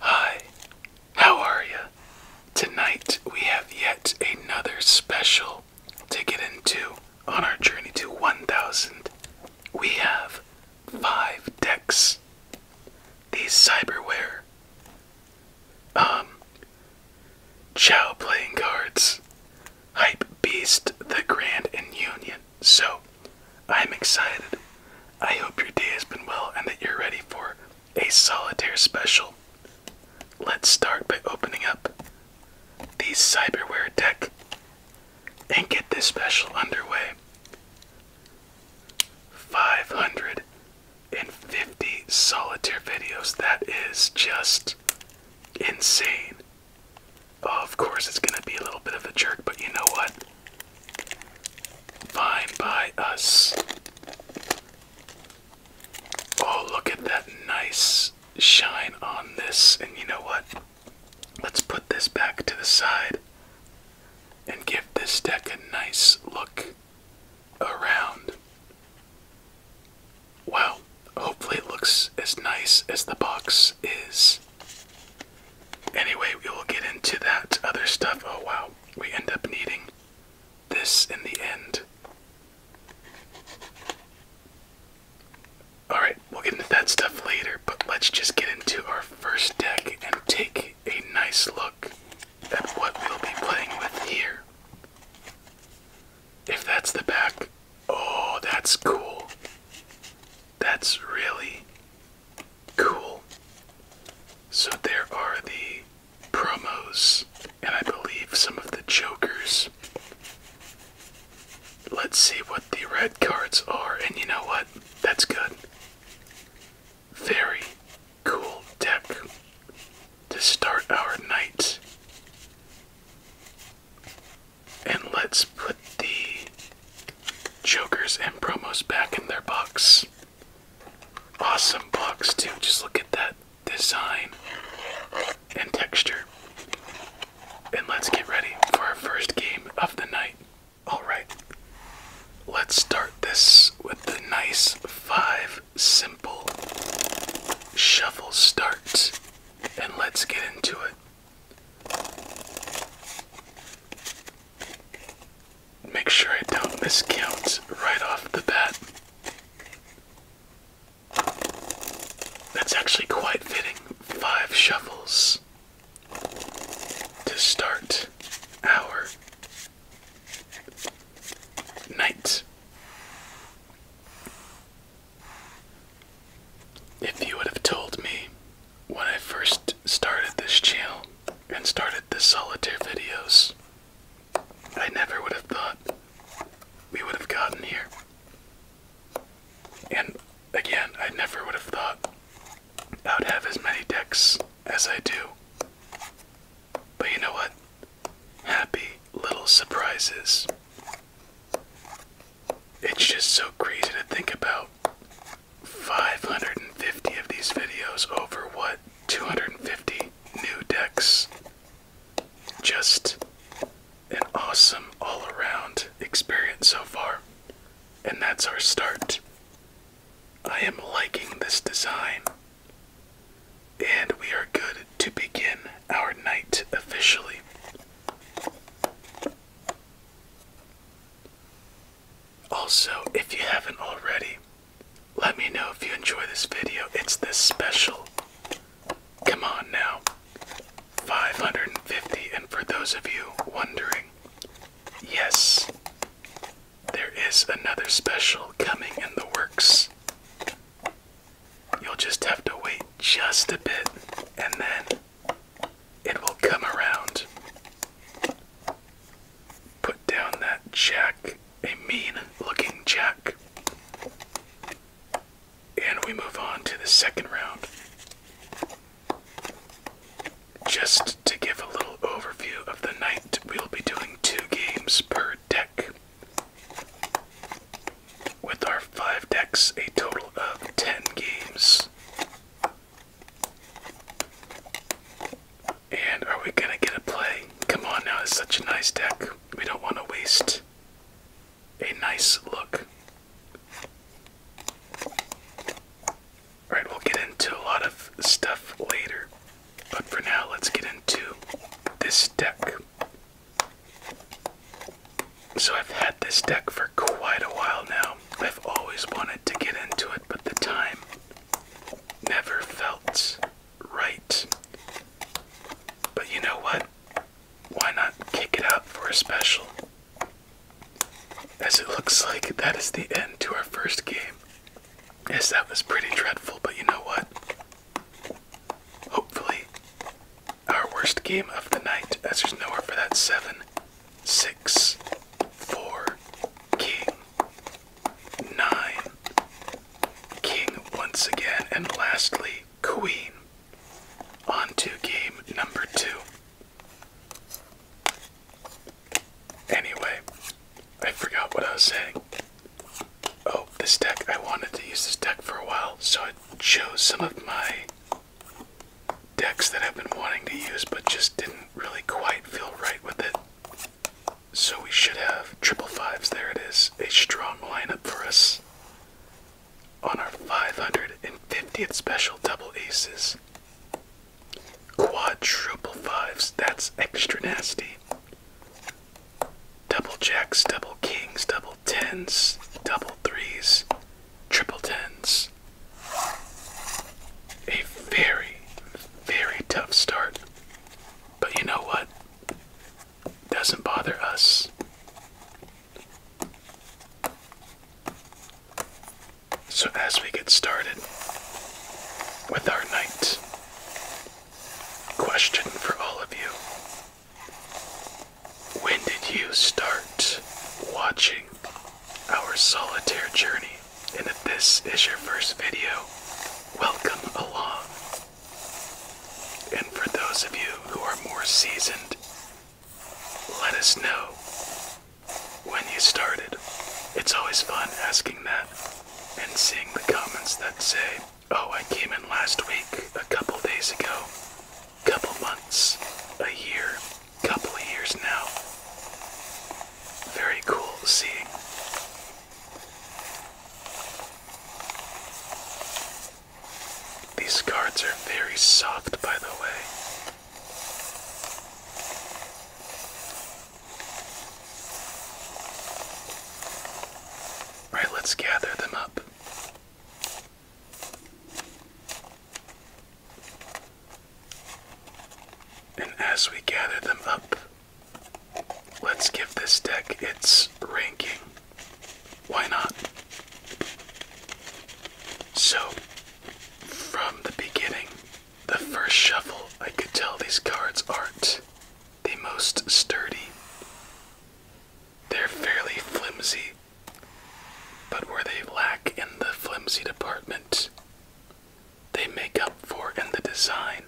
Hi, how are you? Tonight we have yet another special to get into on our journey to 1000. We have five decks. These cyberware, um, Chow playing cards, Hype Beast, The Grand and Union, so, I'm excited. I hope your day has been well and that you're ready for a solitaire special. Let's start by opening up the cyberware deck and get this special underway. 550 solitaire videos. That is just insane. Oh, of course, it's gonna be a little bit of a jerk, but you know what? Fine by us. Oh, look at that nice shine on this. And you know what? Let's put this back to the side and give this deck a nice look around. Wow, hopefully it looks as nice as the box is. Anyway, we will get into that other stuff. Oh wow, we end up needing this in the end. Alright, we'll get into that stuff later, but let's just get into our first deck and take a nice look at what we'll be playing with here. If that's the back, oh, that's cool. That's really cool. So there are the promos and I believe some of the jokers. Let's see what the red cards are, and you know what? That's good. Very cool deck to start our night. And let's put the Jokers and promos back in their box. Awesome box, too. Just look at that design and texture. And let's get ready for our first game of the night. Alright, let's start this with the nice five simple shuffle starts. And let's get into it. Make sure I don't miscount right off the bat. That's actually quite fitting. Five shovels to start our night. If you would have told me when I first started this channel and started the solitaire videos, I never would have thought we would have gotten here. And again, I never would have thought I would have as many decks as I do. But you know what? Happy little surprises. It's just so crazy to think about 550 of these videos over what 250 new decks. Just an awesome all around experience so far. And that's our start. I am liking this design. And we are good to begin our night officially. Also, if you haven't already, let me know if you enjoy this video. It's this special. Come on now. 550, and for those of you wondering, yes, there is another special coming in the works. You'll just have to wait just a bit, and then it will come around. Put down that jack, a mean looking jack. And we move on to the second round. Just to give a little overview of the night, we'll be doing two games per deck. With our five decks, a total of 10 games. And are we gonna get a play? Come on now, it's such a nice deck. We don't want to waste a nice look. Alright, we'll get into a lot of stuff later. But for now, let's get into this deck. So I've had this deck for quite a while now. I've always wanted to get into it, but the time never felt right. But you know what? Why not kick it out for a special? As it looks like that is the end to our first game. Yes, that was pretty dreadful, but you know what? Hopefully, our worst game of the night, as there's nowhere for that seven, six, four, king, nine, king once again, and lastly, queen. On to game number two. Anyway, I forgot what I was saying. Oh, this deck, I wanted to use this deck for a while, so I chose some of my decks that I've been wanting to use but just didn't really quite feel right with it. So we should have triple fives. There it is. A strong lineup for us on our 550th special double aces. Quadruple fives. That's extra nasty. Double jacks, double kings, double tens, double threes, triple tens. A very, very tough start. But you know what? Doesn't bother us. So, as we get started with our night, question for all of you When did you start watching our solitaire journey, and if this is your first video, welcome along. And for those of you who are more seasoned, let us know when you started. It's always fun asking that and seeing the comments that say, oh, I came in last week, a couple days ago, a couple months, a year couple of years now. Very cool seeing. These cards are very soft, by the way. Right, let's gather them up. And as we gather them up, let's give this deck its ranking. Why not? So, from the beginning, the first shuffle, I could tell these cards aren't the most sturdy. They're fairly flimsy, but where they lack in the flimsy department, they make up for in the design.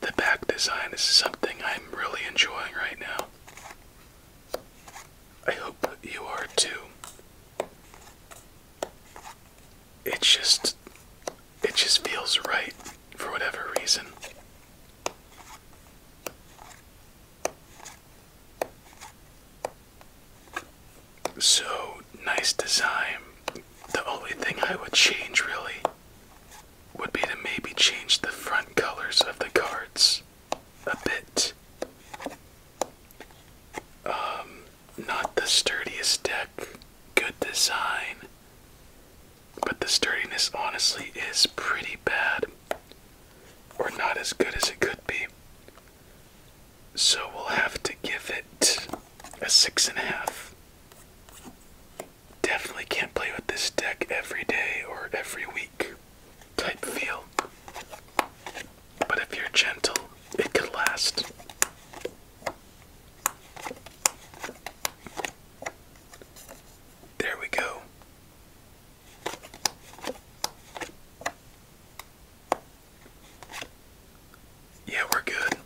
The back design is something I'm really enjoying right now. I hope you are too. It just it just feels right for whatever reason. So nice design. The only thing I would change really would be to maybe change the front colors of the cards a bit. Um, not the sturdiest deck, good design, but the sturdiness honestly is pretty bad, or not as good as it could be. So we'll have to give it a six and a half. Definitely can't play with this deck every day or every week type feel. But if you're gentle, it could last. There we go. Yeah, we're good.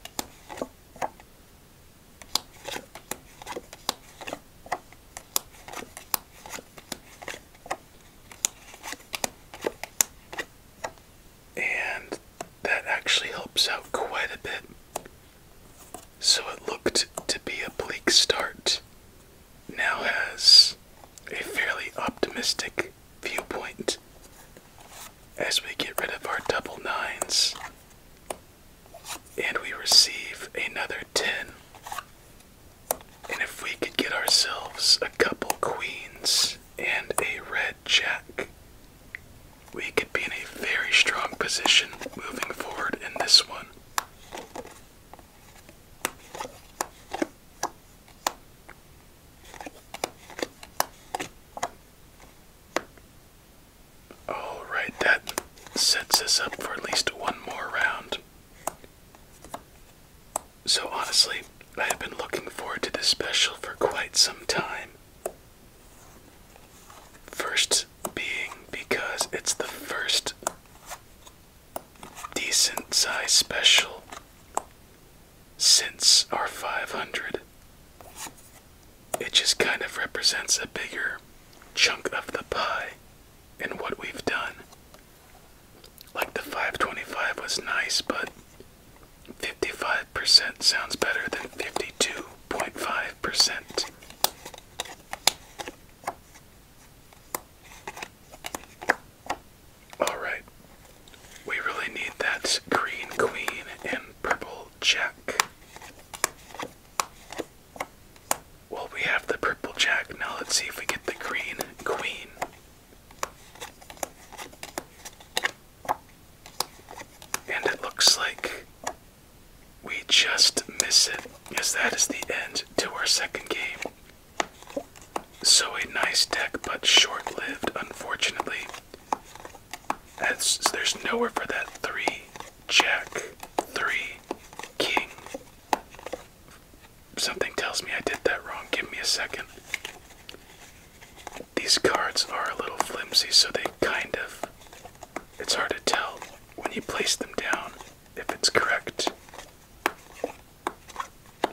And that actually helps out quite a bit. So it looked to be a bleak start, now has a fairly optimistic viewpoint as we get rid of our double nines and we receive another 10. And if we could get ourselves a couple queens and a red jack, we could be in a very strong position moving forward in this one. All right, that sets us up for at least one more round. So, honestly, I have been looking forward to this special for quite some time. First being because it's the first Decent size special. Since our 500, it just kind of represents a bigger chunk of the pie and what we've done. Like the 525 was nice, but 55% sounds better than 52.5%. Alright. We really need that green queen and purple jack. Well, we have the purple jack. Now let's see if we get the green queen. And it looks like we just miss it, because that is the end to our second game. So a nice deck, but short-lived, unfortunately. there's nowhere for that three jack, three king. Something tells me I did that wrong. Give me a second. These cards are a little flimsy, so they kind of. It's hard to tell when you place them down if it's correct.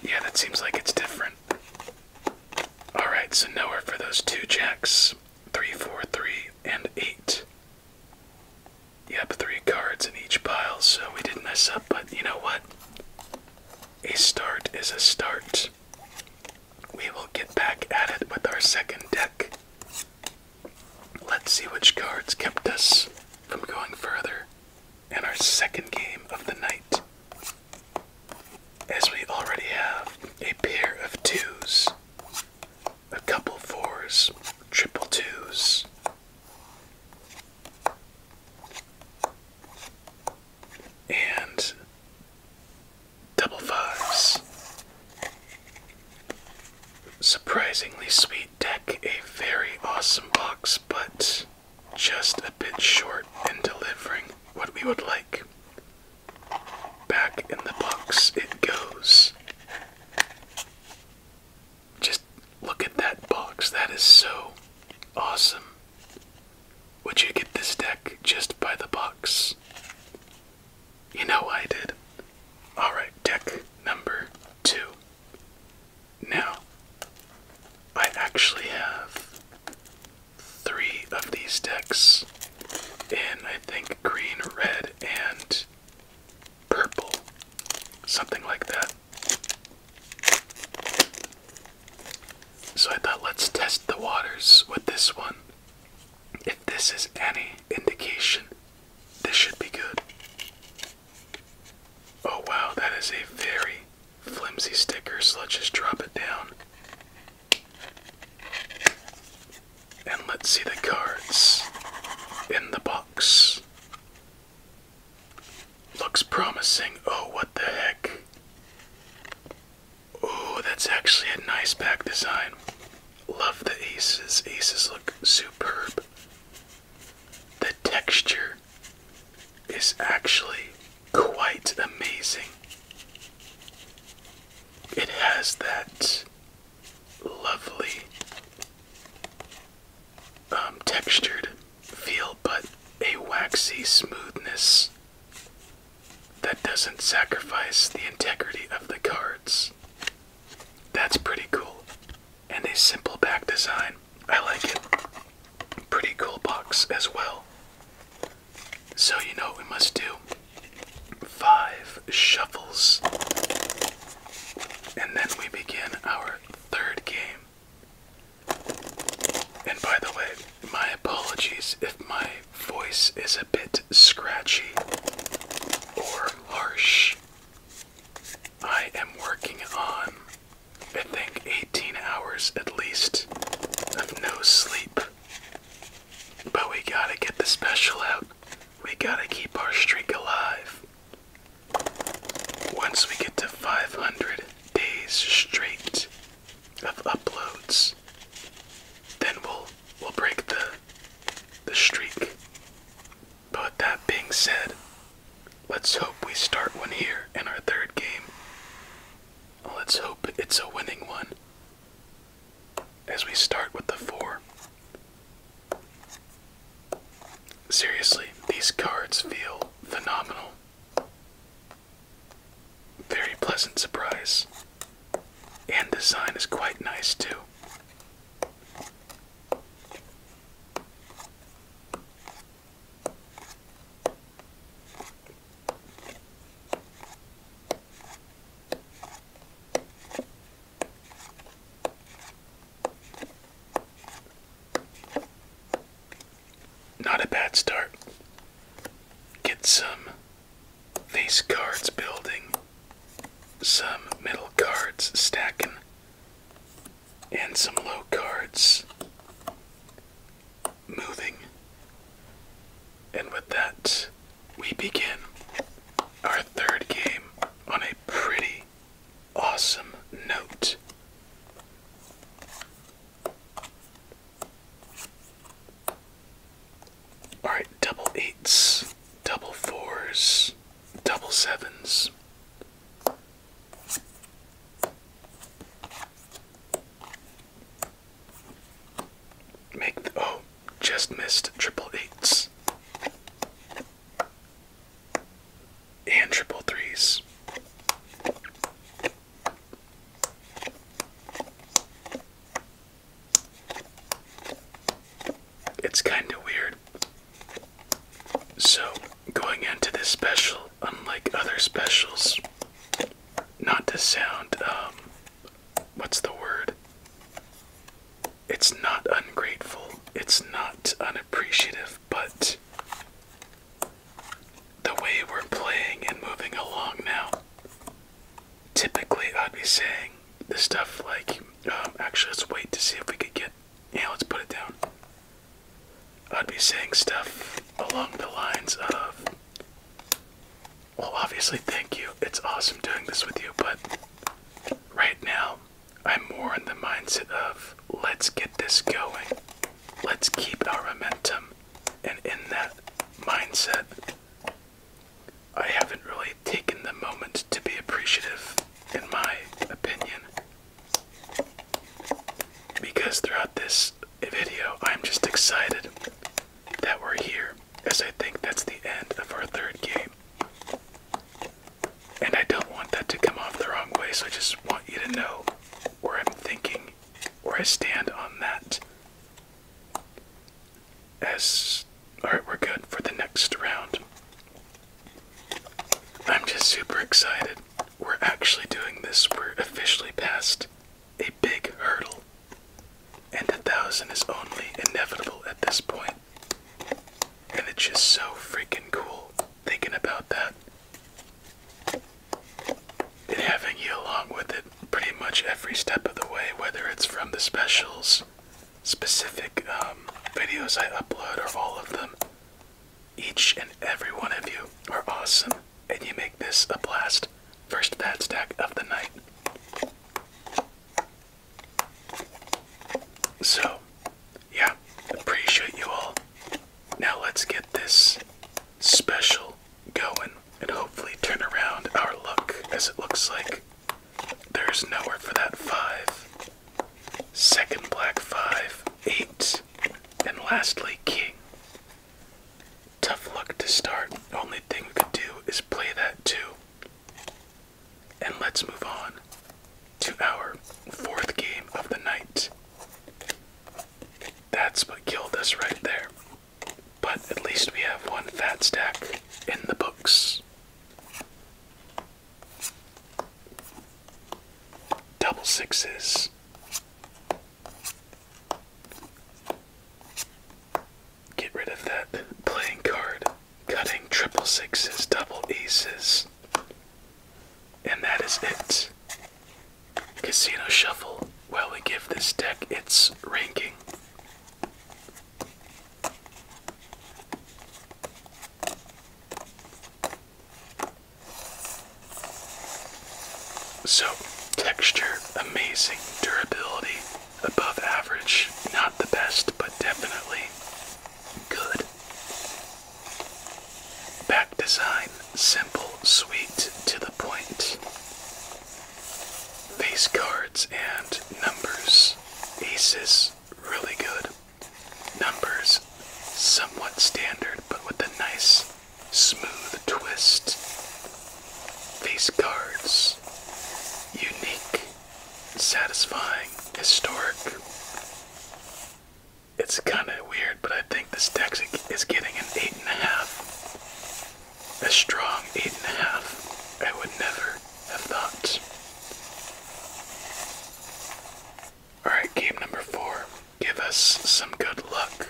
Yeah, that seems like it's different. Alright, so nowhere for those two jacks. Three, four, three, and eight. Yep, three cards in each pile, so we did not mess up, but you know what? A start is a start. We will get back at it with our second deck. Let's see which cards kept us from going further. And our second game of the night, as we already have a pair of twos, a couple fours, triple twos. And double fives. Surprisingly sweet deck, a very awesome box, but just a bit short in delivering what we would like. Back in the box it goes. Just look at that box. That is so awesome. Would you get this deck just by the box? You know I did. Alright, deck number two. Now, I actually have three of these decks in, I think, green, red, and purple. Something like that. So I thought let's test the waters with this one. If this is any indication, this should be good. Oh wow, that is a very flimsy sticker, so let's just drop it down. And let's see the cards in the box. Looks promising. Oh, what the heck? Oh, that's actually a nice pack design. Love the aces. Aces look superb. The texture is actually quite amazing. It has that lovely um, textured feel, but a waxy smoothness that doesn't sacrifice the integrity of the cards. That's pretty cool. And a simple back design I like it. Pretty cool box as well. So, you know what we must do? Five shuffles. And then we begin our third game. And by the way, my apologies if my voice is a bit scratchy or harsh. I am working on I think 18 hours at least of no sleep. But we gotta get the special out. We gotta keep our streak alive. Once we get to 500 days straight of uploads, then we'll we'll break the the streak. But that being said, Let's hope we start one here in our third game. Let's hope it's a winning one. As we start with the four. Seriously, these cards feel phenomenal. Very pleasant surprise. And design is quite nice too. Not a bad start. Get some face cards building, some middle cards stacking, and some low cards moving. And with that, we begin our third game on a pretty awesome note. Alright, double eights, double fours, double sevens, Make the, oh, just missed triple eights and triple threes. It's kind of weird. So going into this special, unlike other specials, not to sound, um, what's the word? It's not ungrateful, it's not unappreciative, but the way we're playing and moving along now, typically I'd be saying the stuff like, um, actually, let's wait to see if we could get yeah, let's put it down. I'd be saying stuff along the lines of, well, obviously, thank you. It's awesome doing this with you, but right now, I'm more in the mindset of, let's get this going. Let's keep our momentum. And in that mindset, I haven't really taken the moment to be appreciative, in my opinion, because throughout this video, I'm just excited that we're here, as I think that's the end of our third game. And I don't want that to come off the wrong way, so I just want you to know where I'm thinking, where I stand on that. As. Alright, we're good for the next round. I'm just super excited. We're actually doing this. We're officially past a big hurdle. And a thousand is only inevitable at this point. And it's just so freaking cool thinking about that. And having you along with it pretty much every step of the way, whether it's from the specials, specific um, videos I upload, or all of them, each and every one of you are awesome, and you make this a blast. First bad stack of the night. So, yeah, appreciate you all. Now let's get this special going and hopefully turn around our luck as it looks like there's nowhere for that five. Second black five, eight, and lastly, king. Tough luck to start. Only thing we could do is play that too. And let's move on to our fourth game of the night. That's what killed us right there. But at least we have one fat stack in the books. Double sixes. Get rid of that playing card, cutting triple sixes, double aces. And that is it. Casino Shuffle. While we give this deck its ranking. So, texture, amazing. Durability, above average. Not the best, but definitely good. Back design, simple, sweet, to the point. Face cards and numbers. Aces, really good. Numbers, somewhat standard, but with a nice Smooth Twist. face cards, unique, satisfying, historic. It's kind of weird, but I think this deck is getting an 8.5. a strong 8.5. I would never have thought. Alright, game number four. Give us some good luck.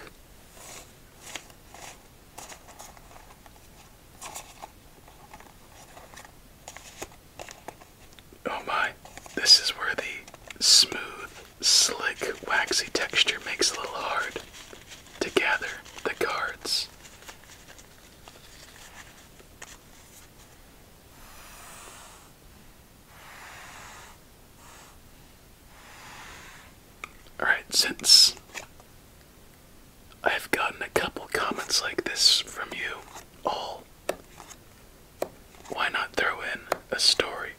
Oh my, this is where the smooth, slick, waxy texture makes a little hard to the cards. Alright, since I've gotten a couple comments like this from you all, why not throw in a story?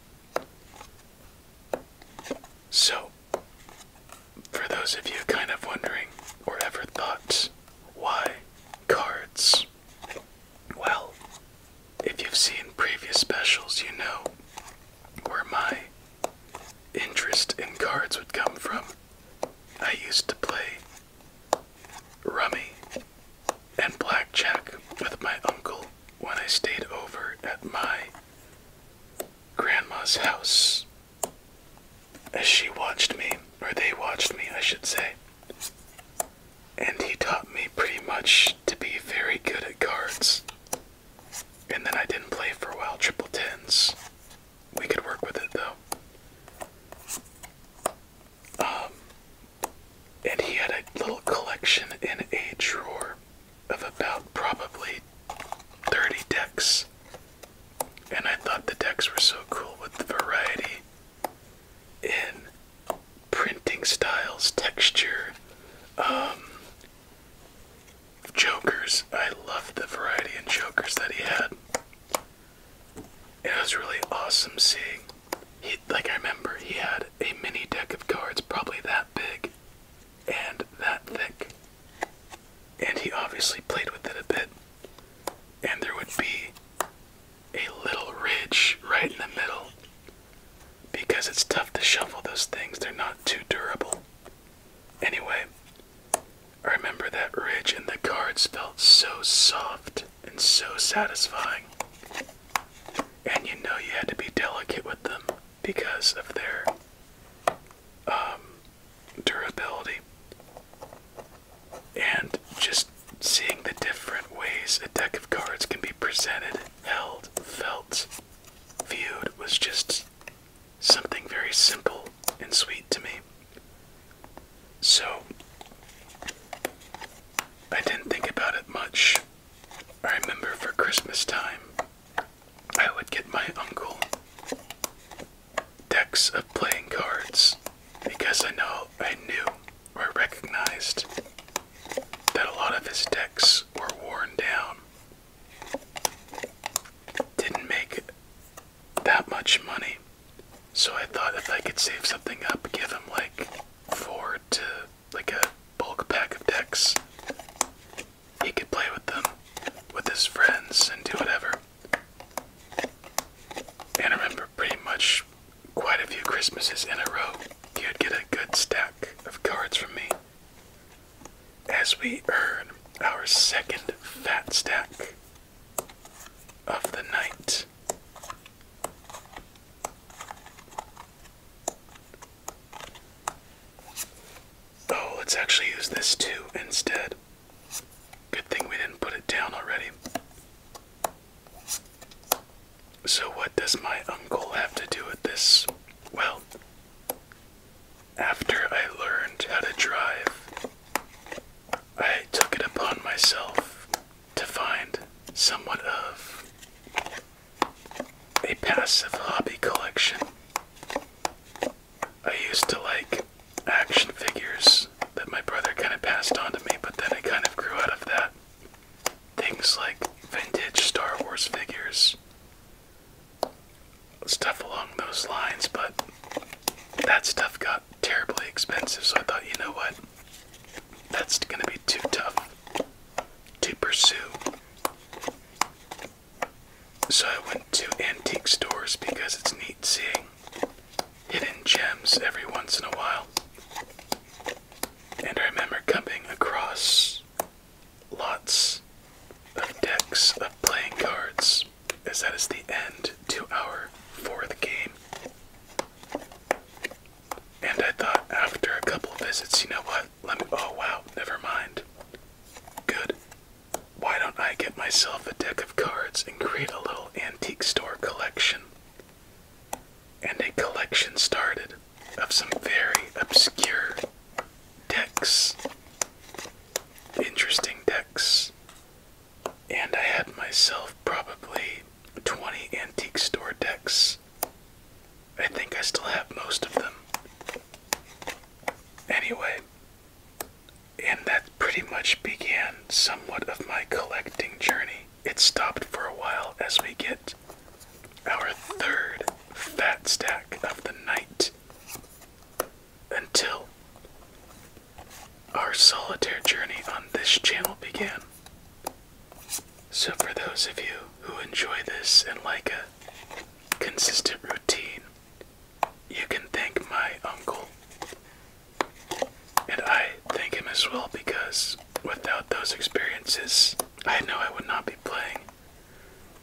So, for those of you kind of wondering or ever thought why cards, well, if you've seen previous specials, you know where my interest in cards would come from. I used to play rummy and blackjack with my uncle when I stayed over at my grandma's house. As she watched me, or they watched me, I should say, and he taught me pretty much to be very good at cards. And then I didn't play for a while triple tens. We could work with it though. Um, and he had a little collection in a drawer of about probably 30 decks. And I thought the decks were so cool with the variety in printing styles, texture, um, jokers. I loved the variety in jokers that he had. It was really awesome seeing. He, like I remember, he had a mini deck of cards, probably that big and that thick, and he obviously played with it a bit. And there would be a little ridge right in the middle because it's tough to shuffle those things, they're not too durable. Anyway, I remember that ridge in the cards felt so soft and so satisfying. And you know you had to be delicate with them because of their um, durability. And just seeing the different ways a deck of cards can be presented held, felt, viewed was just something very simple and sweet to me. So, I didn't think about it much. I remember for Christmas time, I would get my uncle decks of playing cards because I know I knew I recognized that a lot of his decks were worn down, didn't make that much money. So I thought if I could save something up, give him like four to like a bulk pack of decks, he could play with them with his friends and do whatever. And remember pretty much quite a few Christmases in a row, you'd get a good stack of cards from me. As we earn our second fat stack of the night. Oh, let's actually use this too instead. Good thing we didn't put it down already. So, what does my uncle have to do with this? Well, after I learned how to drive, I took it upon myself to find somewhat of a passive hobby collection. I used to like action figures that my brother kind of passed on to me, but then I kind of grew out of that things like vintage Star Wars figures, stuff along those lines, but that stuff got terribly expensive, so I thought, you know what? That's going to be too tough to pursue. So I went to antique stores because it's neat seeing hidden gems every once in a while. And I remember coming across lots of decks of playing cards, as that is the end to our fourth game. And I thought after a couple visits, you know what? Let me. Oh wow, never mind. Good. Why don't I get myself a deck of cards and create a little antique store collection? and a collection started of some very obscure decks, interesting decks. And I had myself probably 20 antique store decks. I think I still have most of them. Anyway, and that pretty much began somewhat of my collecting journey. It stopped for a while as we get our third fat stack of the night until our solitary journey on this channel began. So, for those of you who enjoy this and like a consistent routine, you can thank my uncle. And I thank him as well because without those experiences, I know I would not be playing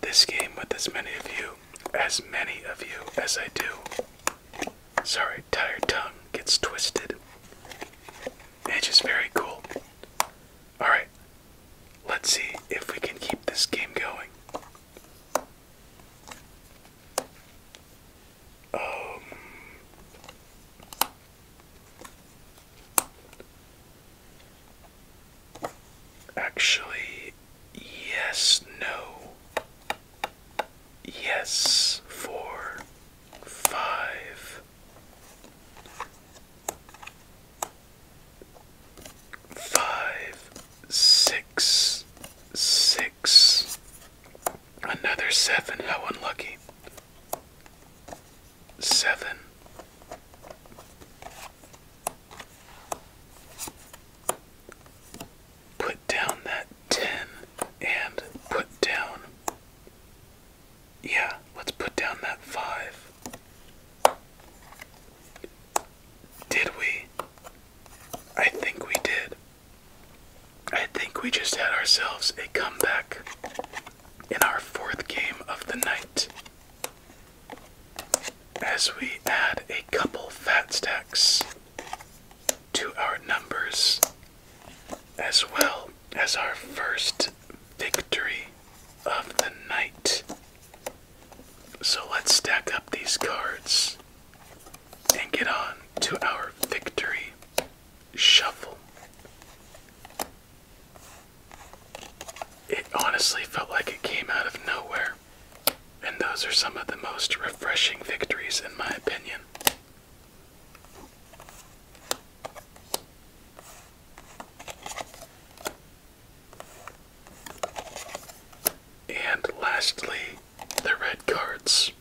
this game with as many of you, as many of you as I do. Sorry, tired tongue gets twisted. It's just very cool. Alright, let's see if we can keep this game going. Um, Actually, yes, no. Yes, four, five. Five, six, six. Another seven. How unlucky seven. Put down that 10 and put down. Yeah, let's put down that 5. Did we? I think we did. I think we just had ourselves a comeback in our fourth game of the night as we add a couple fat stacks to our numbers as well as our first victory of the night. So let's stack up these cards and get on to our victory shuffle. It honestly felt like it came out of nowhere, and those are some of the most refreshing victories, in my opinion. And lastly, the red cards.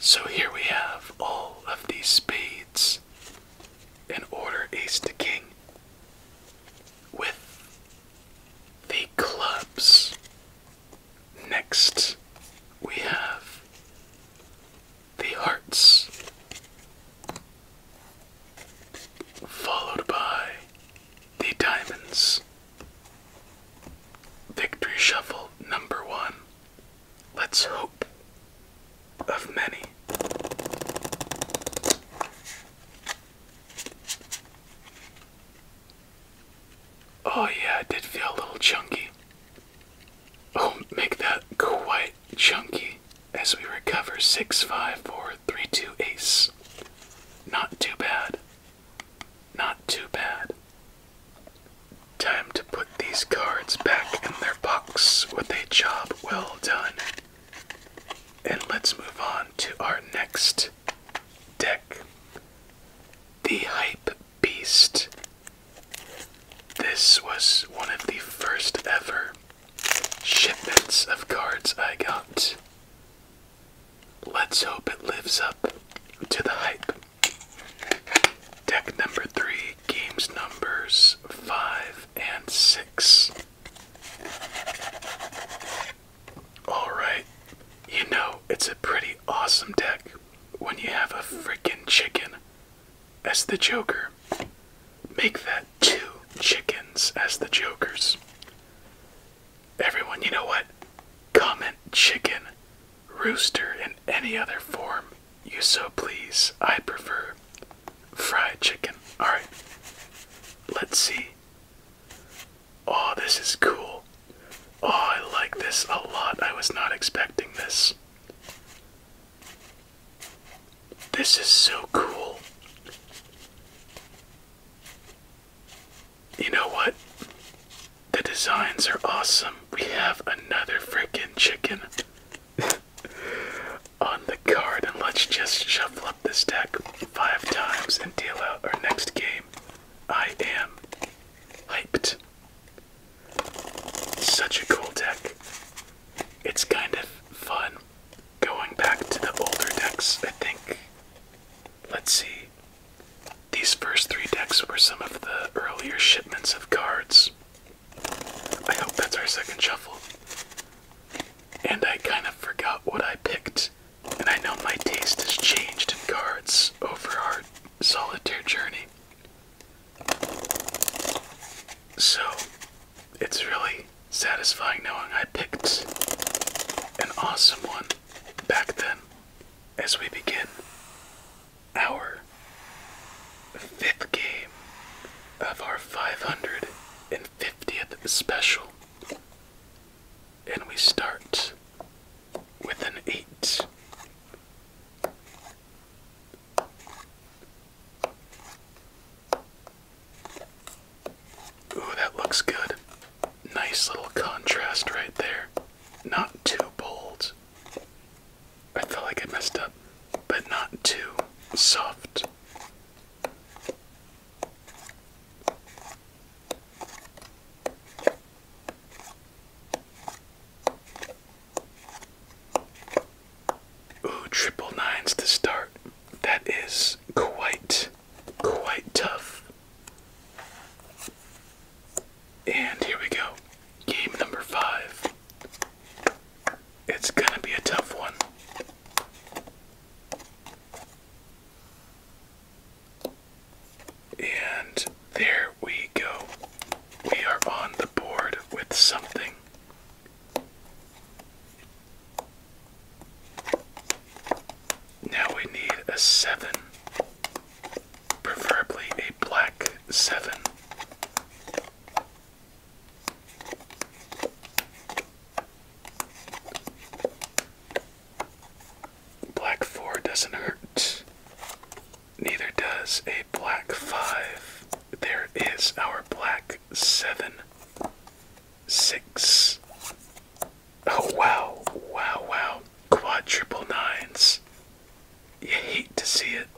So here we have all of these spades and order ace to king with the clubs. Next, we have the hearts, followed by the diamonds. Victory shuffle number one. Let's hope of many. Oh, yeah, it did feel a little chunky. Oh, make that quite chunky as we recover six, five, four, three, two, ace. Not too bad. Not too bad. Time to put these cards back in their box with a job well done. And let's move on to our next deck The Hype Beast. This was one of the first ever shipments of cards I got. Let's hope it lives up to the hype. Deck number three games numbers 5 and 6. Alright, you know, it's a pretty awesome deck when you have a freaking chicken as the Joker. Make that two chickens as the Jokers. Everyone, you know what? Comment chicken, rooster, in any other form you so please. I prefer fried chicken. Alright, let's see. Oh, this is cool. Oh, I like this a lot. I was not expecting this. This is so cool. You know what? The designs are awesome. We have another freaking chicken. on the card, and let's just shuffle up this deck five times and deal out our next game. I am hyped. Such a cool deck. It's kind of fun going back to the older decks, I think. Let's see. These first three decks were some of the earlier shipments of cards. I hope that's our second shuffle. And I kind of forgot what I picked. And I know my taste has changed in cards over our solitaire journey. So, it's really satisfying knowing I picked an awesome one back then as we begin our fifth game of our 550th special. And we start with an 8. Ooh, that looks good. Nice little contrast right there. Not too bold, I feel like I messed up, but not too soft. Ooh, triple nines to start. That is quite, quite tough. And here we go. Game number five. It's gonna be a tough one. And there we go. We are on the board with something. Now we need a seven, preferably a black seven. Black 4 doesn't hurt. Neither does a black 5. There is our black 7. 6. Oh, wow. Wow, wow. Quadruple nines. You hate to see it.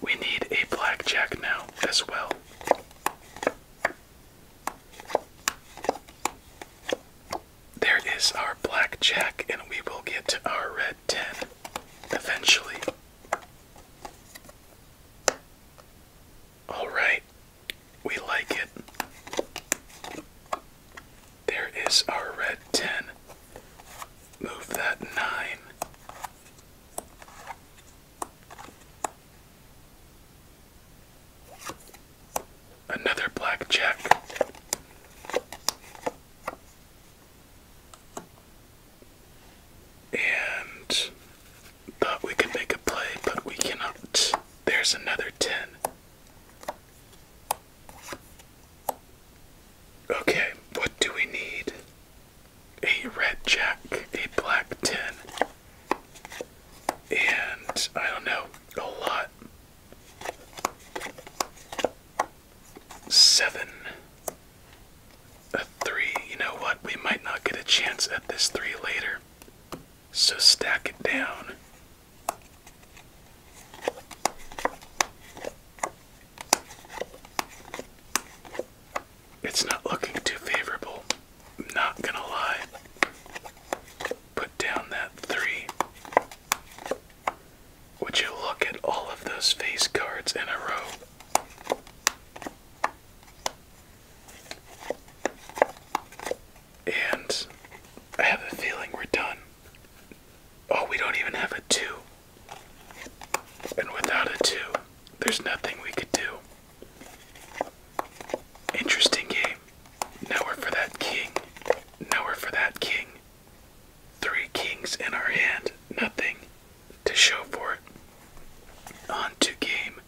We need a blackjack now as well. There is our blackjack, and we will get to our red 10 eventually. Alright, we like it. There is our red 10. Move that nine. Another black And thought we could make a play, but we cannot. There's another 10. Okay, what do we need? A red jack, a black ten, and I don't know, a lot. Seven. A three. You know what? We might not get a chance at this three later. So stack it down. It's not looking too favorable, not gonna lie. Put down that three. Would you look at all of those face cards in a row? And I have a feeling we're done. Oh, we don't even have a two. And without a two, there's nothing we could do. Interesting game. Nowhere for that king. Nowhere for that king. Three kings in our hand. Nothing to show for it. On to game.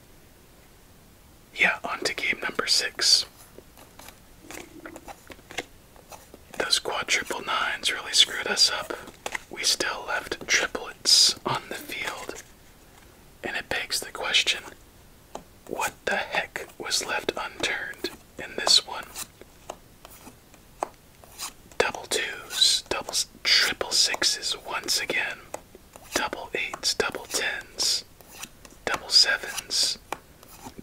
Yeah, on to game number six. Those quadruple nines really screwed us up. We still left triplets on the field. And it begs the question what the heck was left unturned in this one? Double twos, double triple sixes once again, double eights, double tens, double sevens,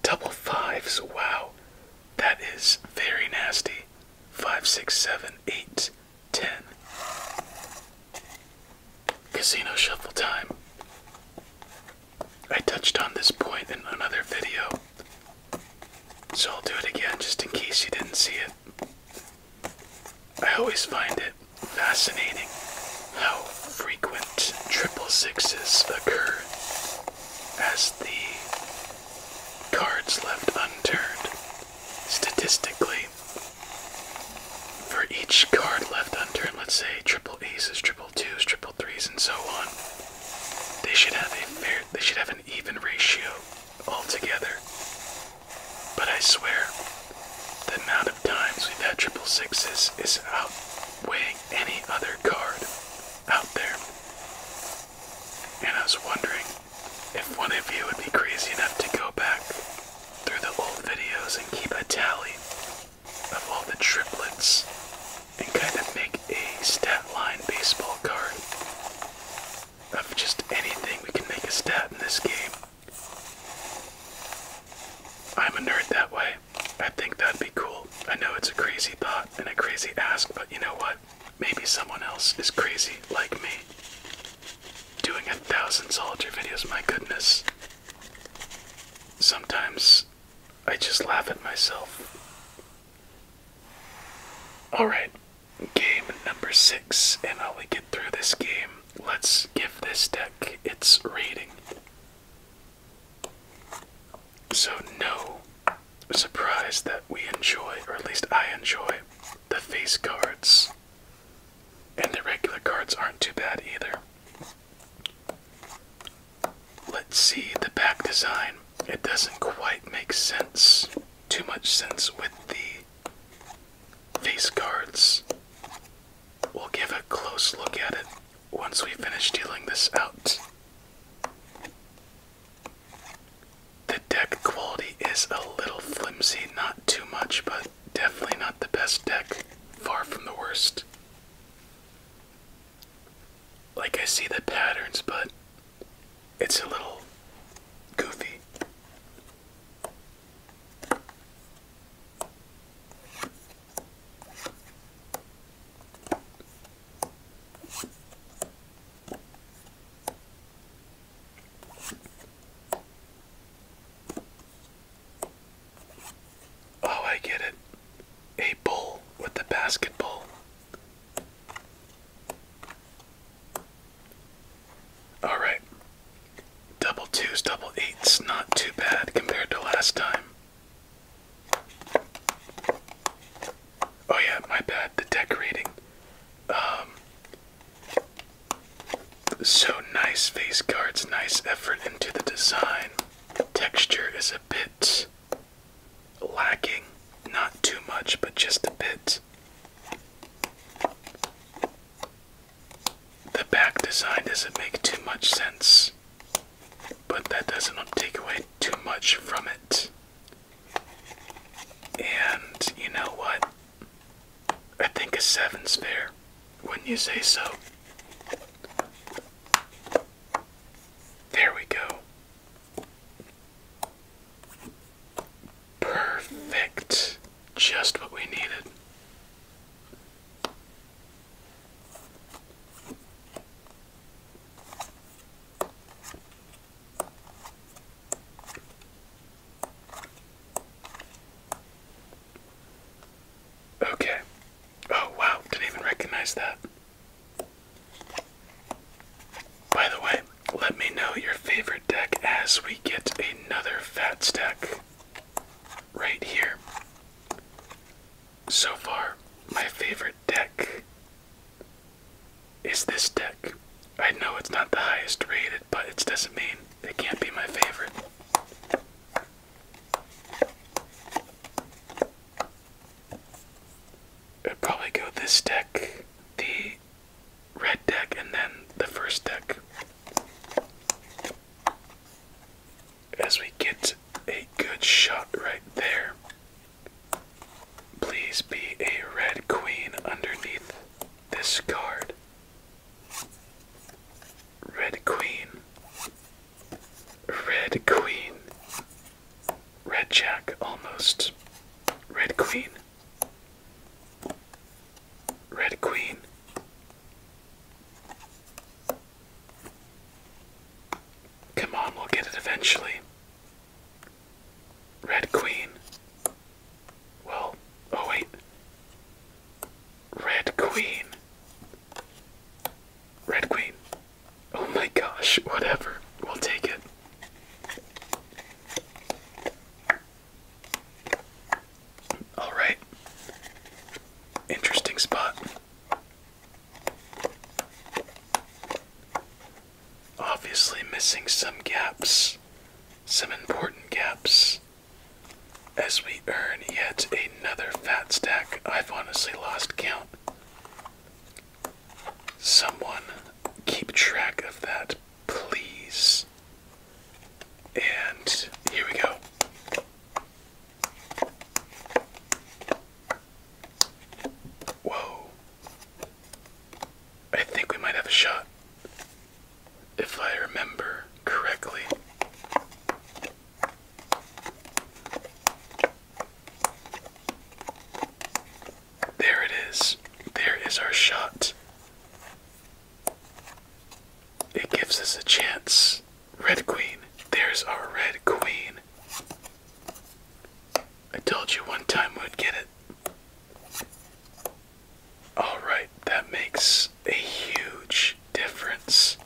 double fives. Wow, that is very nasty five, six, seven, eight, ten. Casino shuffle time. I touched on this point in another video, so I'll do it again just in case you didn't see it. I always find it fascinating how frequent triple sixes occur as the cards left unturned. Statistically, for each card left unturned, let's say triple aces, triple twos, triple threes, and so on, they should have a fair, they should have an even ratio altogether. But I swear, the amount of times we've had triple sixes is outweighing any other card out there. And I was wondering if one of you would be crazy enough to go back through the old videos and keep a tally of all the triplets and kind of make a stat line baseball card of just anything we can make a stat in this game. I'm a nerd that way. I think that'd be cool. I know it's a crazy thought and a crazy ask, but you know what? maybe someone else is crazy like me. Doing a thousand soldier videos, my goodness. Sometimes I just laugh at myself. Alright, game number six, and while we get through this game, let's give this deck its rating. So, no surprised that we enjoy, or at least I enjoy, the face cards. And the regular cards aren't too bad either. Let's see the back design. It doesn't quite make sense, too much sense with the face cards. We'll give a close look at it once we finish dealing this out. The deck quality is a little flimsy, not too much, but definitely not the best deck. Far from the worst. Like, I see the patterns, but it's a little goofy. Oh, I get it. A bull with the basketball. All right. Double twos, double eights, not too bad compared to last time. Oh yeah, my bad. The decorating. Um, so nice face cards, nice effort into the design. Texture is a bit lacking, not too much, but just a bit. The back design doesn't make too much sense, but that doesn't take away too much from it. And you know what? I think a seven's fair. Wouldn't you say so? There we go. Perfect. Just what we needed. Okay. Oh, wow. Didn't even recognize that. By the way, let me know your favorite deck as we get another fat stack right here. So far, my favorite deck is this deck. I know it's not the highest rated, but it doesn't mean it can't be my favorite. It'd probably go this deck, the red deck, and then the first deck. As we get a good shot right there, Please be a red queen underneath this card. Red queen. Red queen. Red jack almost. Red queen. Red queen. Come on, we'll get it eventually. Red Queen. Well, oh wait. Red Queen. Red Queen. Oh my gosh, whatever. We'll take it. Alright. Interesting spot obviously missing some gaps, some important gaps, as we earn yet another fat stack. I've honestly lost count. Someone keep track of that, please. And here we go. Whoa. I think we might have a shot. If I remember correctly. There it is. There is our shot. It gives us a chance. Red Queen. There's our Red Queen. I told you one time we'd get it. Alright, that makes a huge difference.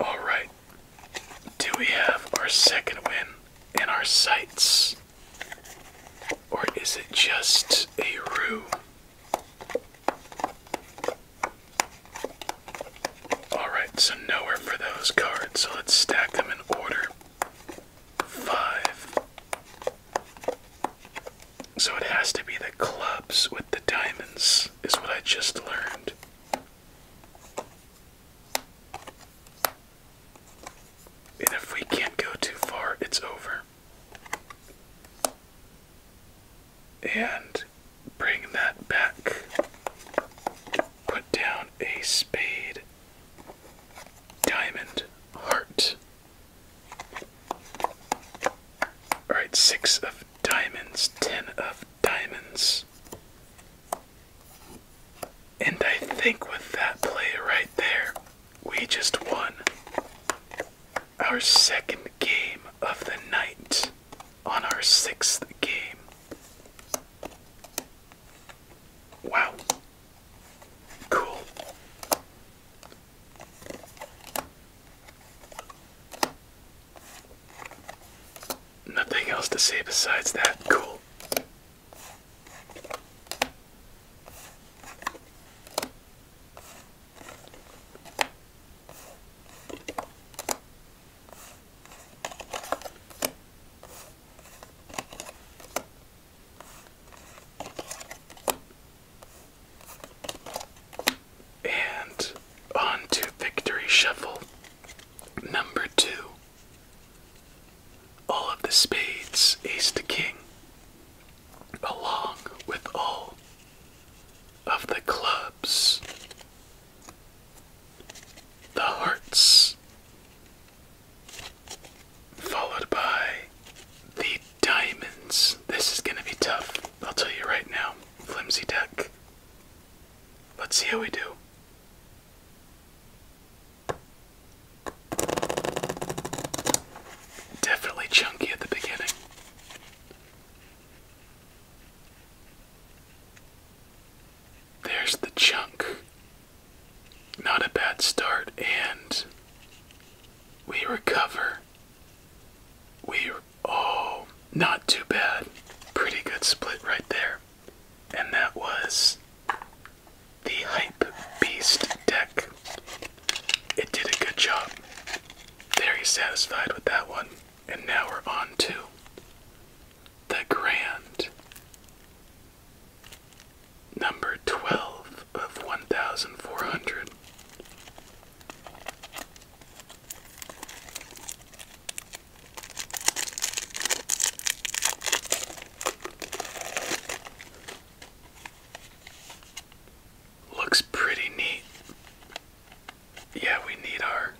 Alright, do we have our second win in our sights? Or is it just a rue? Alright, so nowhere for those cards, so let's stack them in order. Five. So it has to be the clubs with the diamonds, is what I just learned. And if we can't go too far, it's over and bring that back. Put down a spade diamond heart. Alright, six of diamonds, ten of diamonds. And I think with that play right there, we just won our second game of the night on our sixth game. Wow. Cool. Nothing else to say besides that. Cool. And on to Victory Shuffle number two. All of the spades, ace to king along with all of the clubs, the hearts, followed by the diamonds. This is going to be tough, I'll tell you right now. Flimsy deck. Let's see how we do. Definitely chunky at the beginning. There's the chunk. Not a bad start, and we recover. We, oh, not too bad. Pretty good split right there. And that was the Hype Beast deck. It did a good job. Very satisfied with that one. And now we're on to the grand. Number 12 of 1,400. Looks pretty neat. Yeah, we need our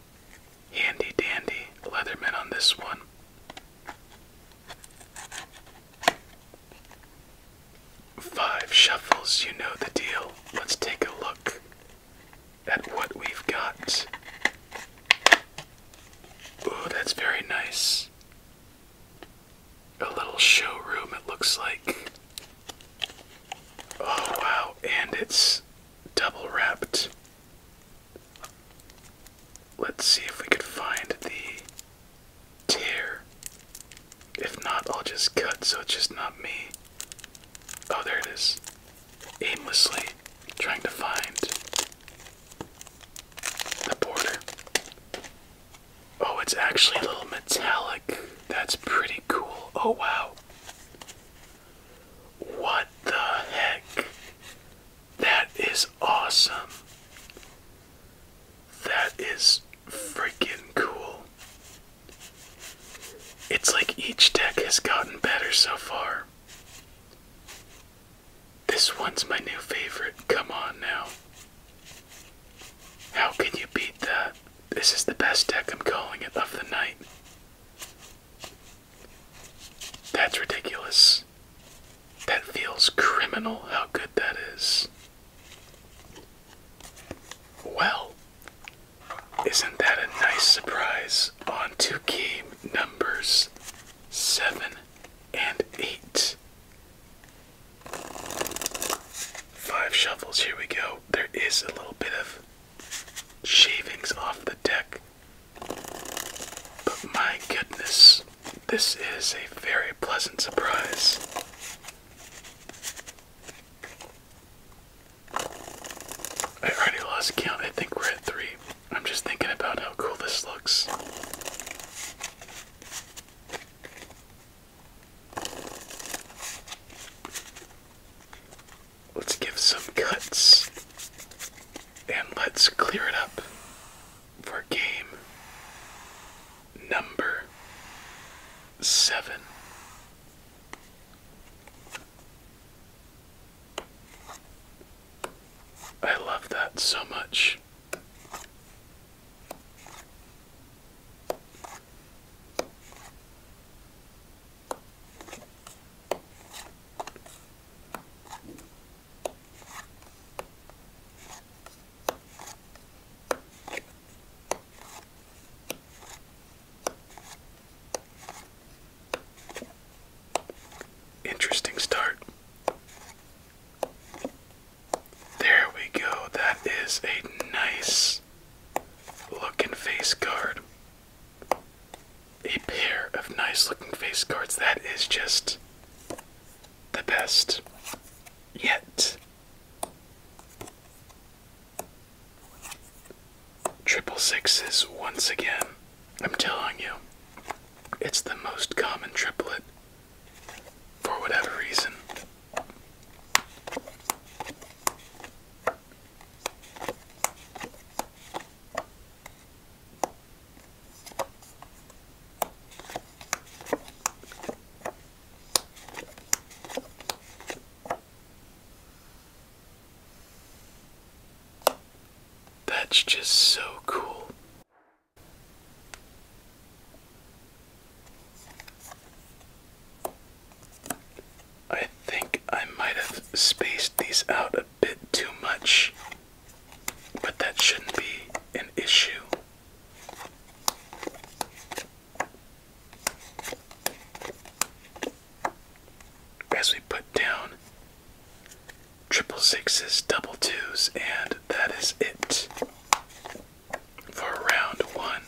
handy dandy Leatherman on this one. Five shuffles, you know the deal. Let's take a look at what we've got. Ooh, that's very nice a little showroom, it looks like. Oh, wow, and it's double wrapped. Let's see if we could find the tear. If not, I'll just cut so it's just not me. Oh, there it is. Aimlessly trying to find the border. Oh, it's actually a little metallic. That's pretty cool. Oh, wow. What the heck? That is awesome. That is freaking cool. It's like each deck has gotten better so far. This one's my new favorite. Come on now. How can you beat that? This is the best deck I'm calling it of the night. That's ridiculous. That feels criminal how good that is. Well, isn't that a nice surprise? On two game numbers 7 and 8. Five shovels, here we go. There is a little bit of shavings off the deck. But my goodness, this is a very pleasant surprise. I already lost count. I think we're at three. I'm just thinking about how cool this looks. Let's give some cuts and let's clear it up for game number seven. I love that so much. Interesting start. There we go. That is a nice looking face guard. A pair of nice looking face guards. That is just the best yet. Triple sixes once again. I'm telling you, it's the most common triplet for whatever reason. That's just so cool. I think I might have spaced these out a bit too much, but that shouldn't be an issue. As we put down triple sixes, double twos, and that is it for round one.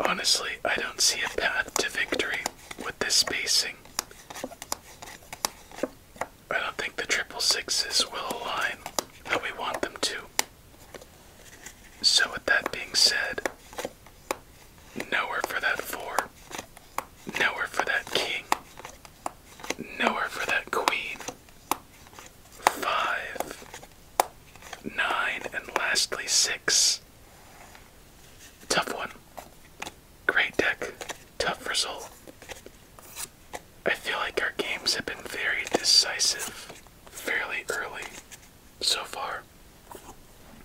Honestly, I don't see a path to victory with this spacing. I don't think the triple sixes will align how we want them to. So, with that being said, nowhere for that four, nowhere for that king, Nowhere for that queen. Five, nine, and lastly six. Tough one. Great deck. Tough result. I feel like our games have been very decisive fairly early so far.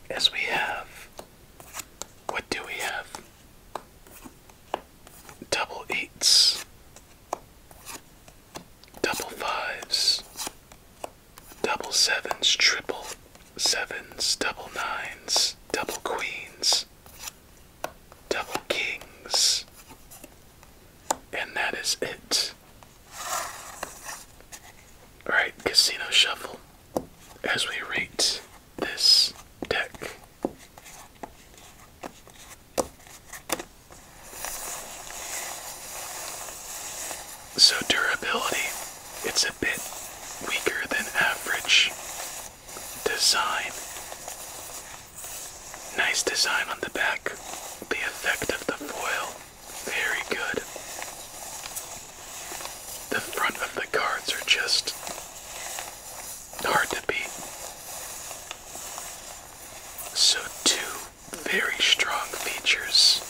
As we have. What do we have? double eights, double fives, double sevens, triple sevens, double nines, double queens, double kings, and that is it. Alright, Casino Shuffle, as we rate this deck. So, durability, it's a bit weaker than average. Design. Nice design on the back. The effect of the foil, very good. The front of the cards are just hard to beat. So, two very strong features.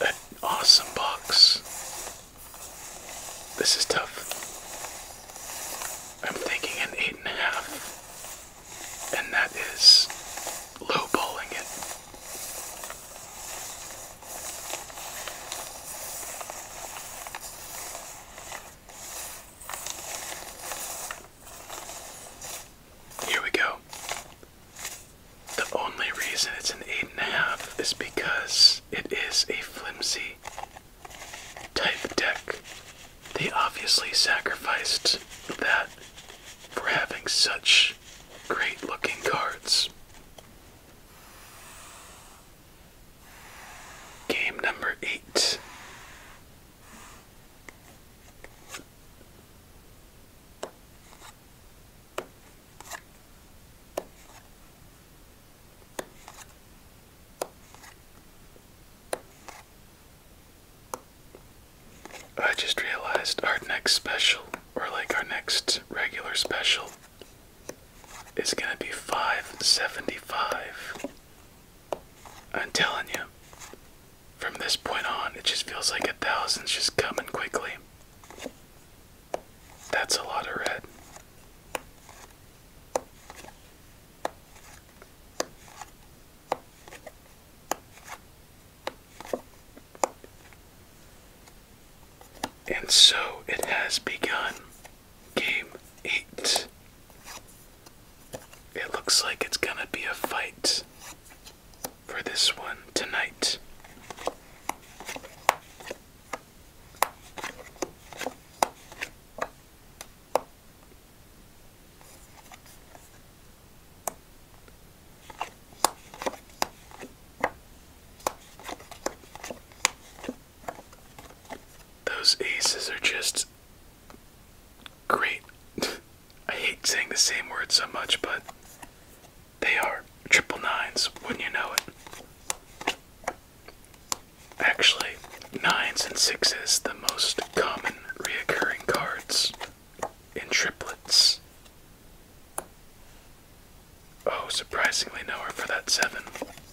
An awesome box. This is tough. I'm thinking an 8.5, and, a half, and that is low balling it. Here we go. The only reason it's an 8.5 is because it is a flimsy type deck. They obviously sacrificed that for having such great looking cards. Game number eight. I just realized our next special, or like our next regular special, it's going to be 575. I'm telling you, from this point on, it just feels like a thousand's just coming quickly. That's a lot of red. And so it has begun. Game 8. It looks like it's gonna be a fight for this one tonight. Those aces are just great. I hate saying the same word so much, but they are triple nines, wouldn't you know it? Actually, nines and sixes, the most common reoccurring cards in triplets. Oh, surprisingly nowhere for that seven.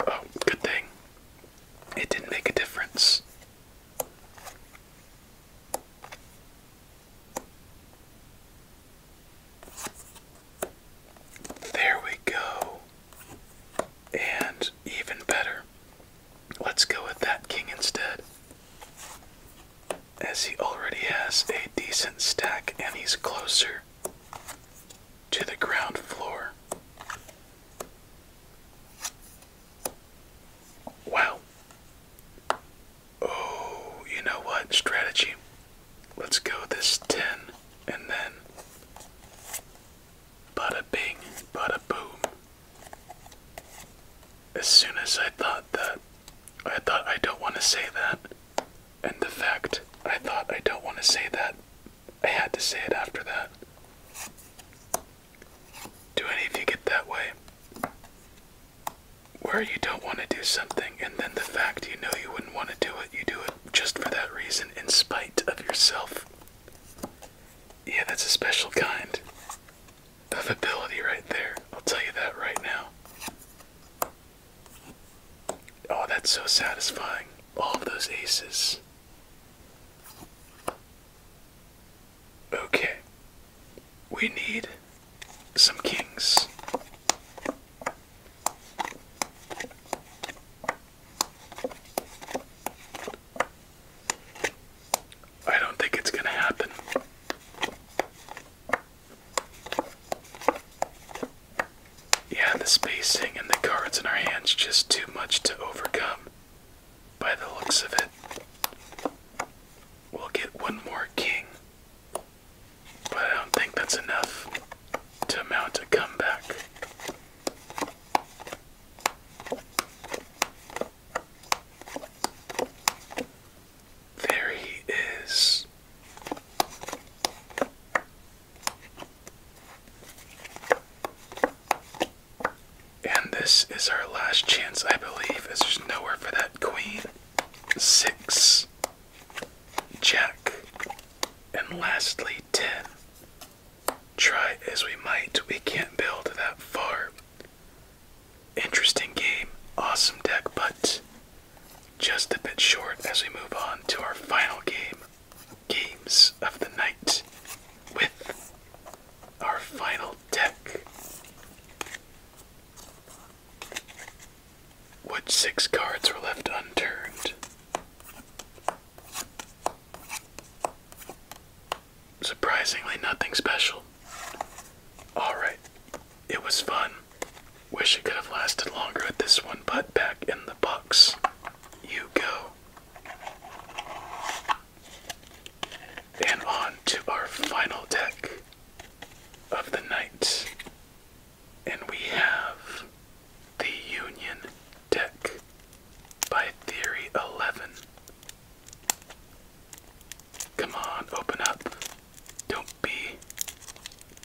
Oh, good thing. It didn't make a difference. There we go. And even better. Let's go with that king instead. As he already has a decent stack and he's closer to the ground floor. Wow. Oh, you know what? Strategy. Let's go this 10 and then bada bing, bada boom. As soon as I thought that, I thought I don't want to say that. And the fact I thought I don't want to say that I had to say it after that. Do any of you get that way? Where you don't want to do something, and then the fact you know you wouldn't want to do it, you do it just for that reason, in spite of yourself. Yeah, that's a special kind of ability right there. I'll tell you that right now. Oh, that's so satisfying. All of those aces. Okay, we need some kings. I don't think it's going to happen. Yeah, the spacing and the cards in our hands just too much to overcome by the looks of it. We'll get one more king, but I don't think that's enough to mount a comeback. There he is. And this is our last chance, I believe, as there's nowhere for that queen. Six, jack, and lastly, ten. Try as we might, we can't build that far. Interesting game, awesome deck, but just a bit short as we move on to our final game games of the night with our final deck. What six cards were left unturned? Surprisingly, nothing special. Alright, it was fun. Wish it could have lasted longer with this one, but back in the box you go. And on to our final deck of the night. And we have the Union deck by Theory 11. Come on, open up. Don't be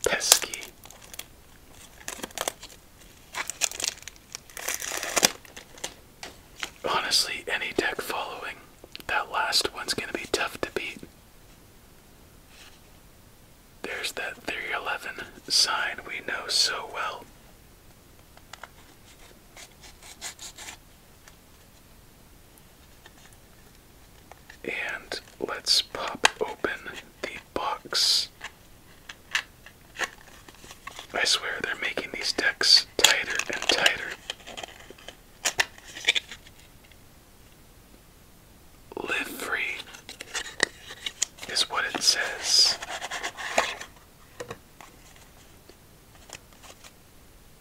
pesky. Honestly, any deck following that last one's going to be tough to beat. There's that 311 sign we know so well. And let's pop open the box I swear they're making these decks tighter and tighter. Live free is what it says.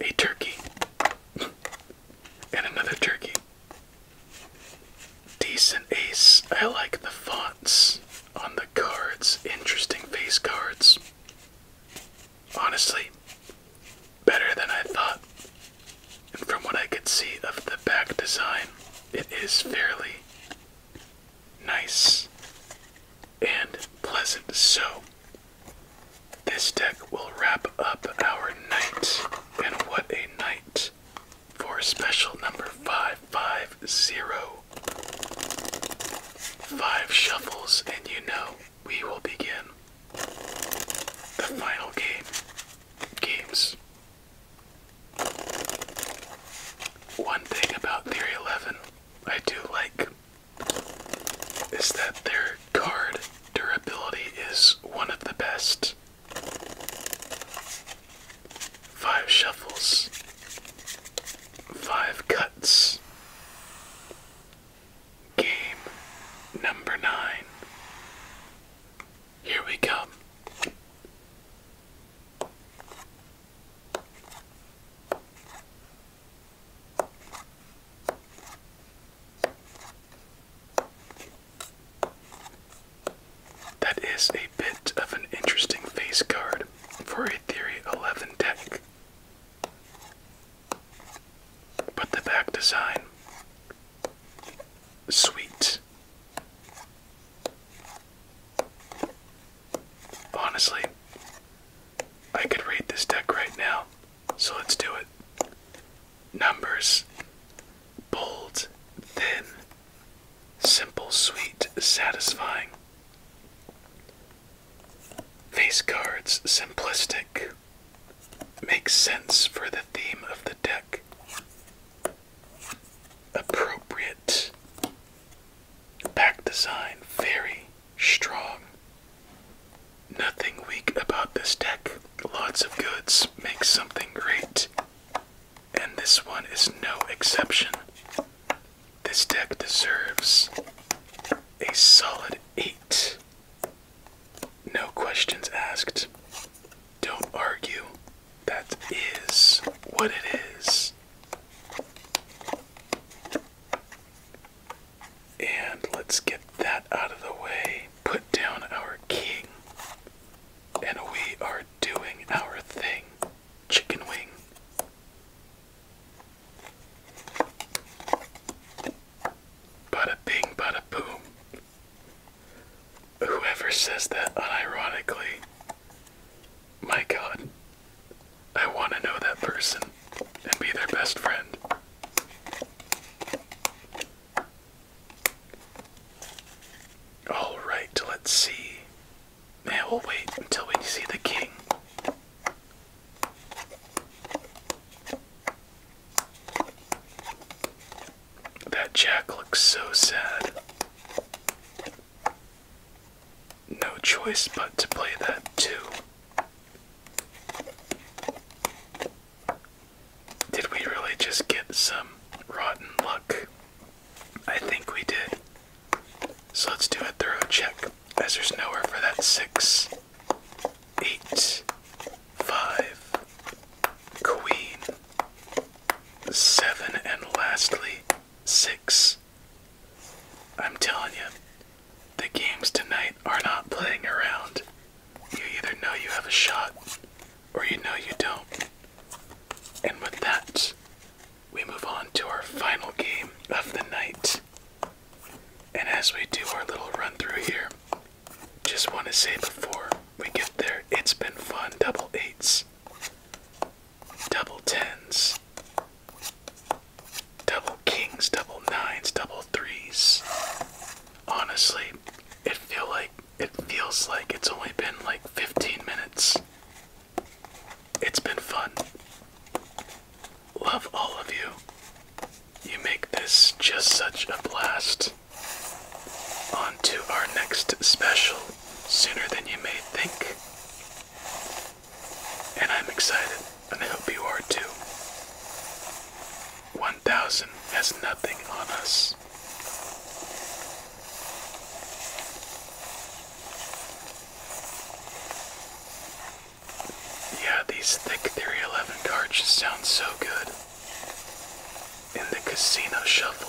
A turkey and another turkey decent ace. I like the fonts on the cards. Interesting face cards. Honestly, better than I thought. And from what I could see of the back design, it is fairly nice and pleasant. So, this deck will wrap up our night, and what a night for special number 550. Five shuffles, and you know we will begin the final game. Games. One thing about Theory 11 I do like is that their card durability is one of the best five shuffles, five cuts. Game number nine. Here we come. That is a bit of an interesting face card for a Theory 11 deck. But the back design, sweet. Honestly, I could read this deck right now, so let's do it. Numbers, bold, thin, Simple, sweet, satisfying. Face cards, simplistic. Makes sense for the theme of the deck. Appropriate. Back design, very strong. Nothing weak about this deck. Lots of goods. Makes something great. And this one is no exception. This deck deserves a solid 8. No questions asked. Don't argue. That is what it is. And let's get that out of the way. Put down our king. And we are doing our thing chicken wing. Bada bing, bada boom. Whoever says that unironically, my god, I want to know that person and be their best friend. Alright, let's see. Man, we'll wait until we see the king. That jack looks so sad. No choice but to play that too. Did we really just get some rotten luck? I think we did. So let's do a thorough check, as there's nowhere for that six, eight, five, queen, seven, and lastly, six. I'm telling you, the games tonight are not playing around. You either know you have a shot, or you know you don't. And with that, we move on to our final game of the night. And as we do our little run through here, just want to say before we get there, it's been fun. Double eights, double tens, double kings, double nines, double threes. Honestly, it feels like it feels like it's only been like 15 minutes it's been fun. Love all of you. You make this just such a blast. On to our next special sooner than you may think. And I'm excited, and I hope you are too. 1000 has nothing on us. Yeah, these thick Theory 11 cards just sound so good in the casino shuffle.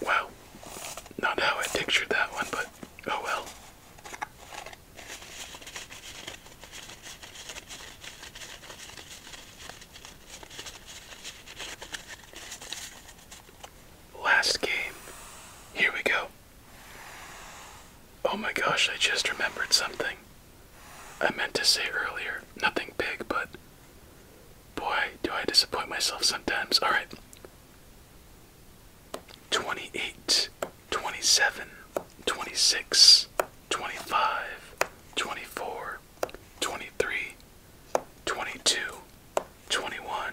Wow, not how I pictured that one, but oh well. Last game. Here we go. Oh my gosh, I just remembered something. I meant to say earlier. Nothing big, but boy, do I disappoint myself sometimes. Alright. 28, 27, 26, 25, 24, 23, 22, 21,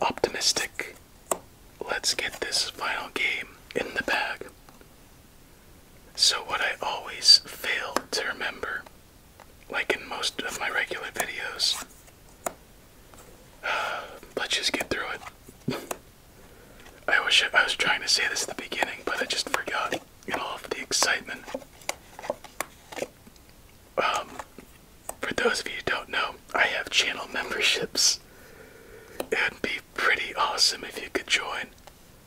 optimistic. Let's get this final game in the bag. So, what I always fail to remember, like in most of my regular videos, let's just get through it. I wish I was trying to say this at the beginning, but I just forgot in all of the excitement. Um, for those of you who don't know, I have channel memberships. It'd be pretty awesome if you could join.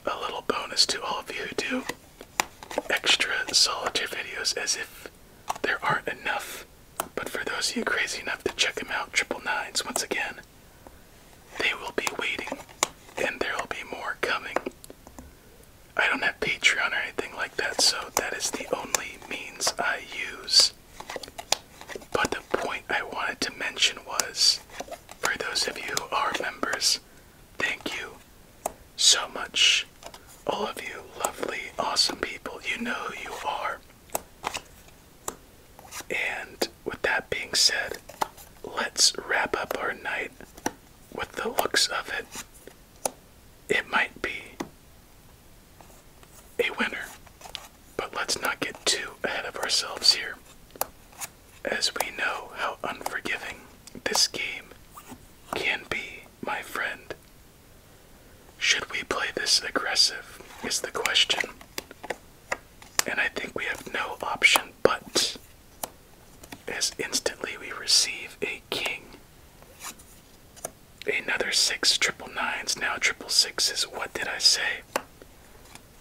A little bonus to all of you who do extra solitaire videos as if there aren't enough. But for those of you crazy enough to check them out, triple nines once again, they will be waiting, and there will be more coming. I don't have Patreon or anything like that, so that is the only means I use. But the point I wanted to mention was for those of you who are members, thank you so much. All of you lovely, awesome people, you know who you are. And with that being said, let's wrap up our night with the looks of it. It might be a winner. But let's not get too ahead of ourselves here, as we know how unforgiving this game can be, my friend. Should we play this aggressive? Is the question. And I think we have no option but, as instantly we receive a king. Another six triple nines, now triple sixes. What did I say?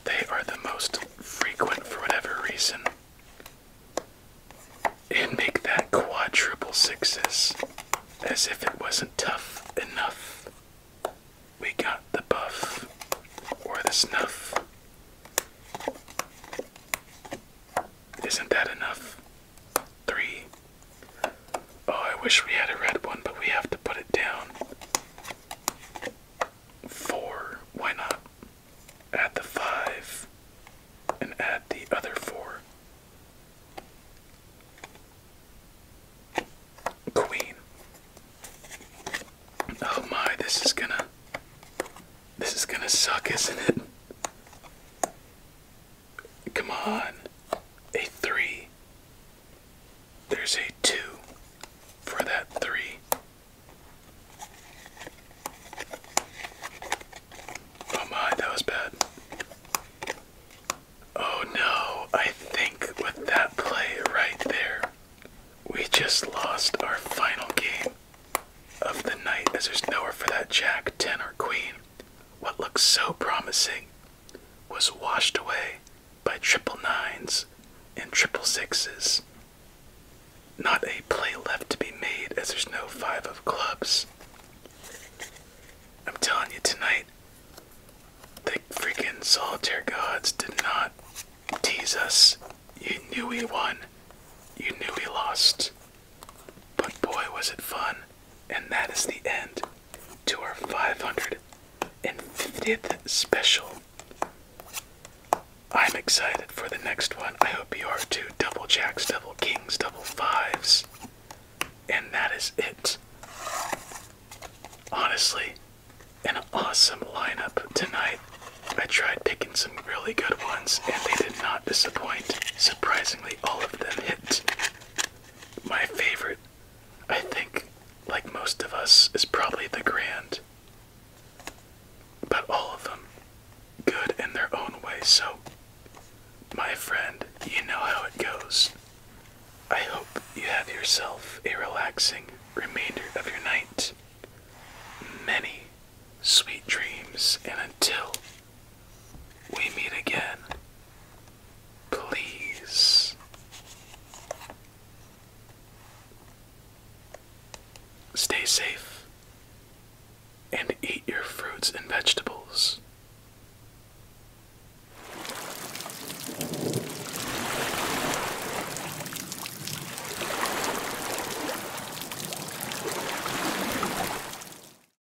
They are the most frequent for whatever reason. And make that quad triple sixes as if it wasn't tough enough. We got the buff or the snuff. Isn't that enough? Three. Oh, I wish we had a red one, but we have to put it down. Four. Why not? Add the five and add the other four. Queen. Oh my, this is gonna. This is gonna suck, isn't it? Come on. A three. There's a two for that three. Oh my, that was bad. Oh no, I think with that play right there, we just lost our final game of the night as there's nowhere for that jack, 10, or queen. What looked so promising was washed away by triple nines and triple sixes. Not a play left to be made as there's no five of clubs. I'm telling you tonight, the freaking solitaire gods did not tease us. You knew we won, you knew we lost. But boy, was it fun! And that is the end to our 550th special. I'm excited for the next one. I hope you are too. Double jacks, double kings, double fives. And that is it. Honestly, an awesome lineup tonight. I tried picking some really good ones and they did not disappoint. Surprisingly, all of them hit my favorite, I think, like most of us, is probably the Grand. But all of them good in their own way, so my friend, you know how it goes. I hope you have yourself a relaxing remainder of your night. Many sweet dreams, and until we meet again, please. Stay safe and eat your fruits and vegetables.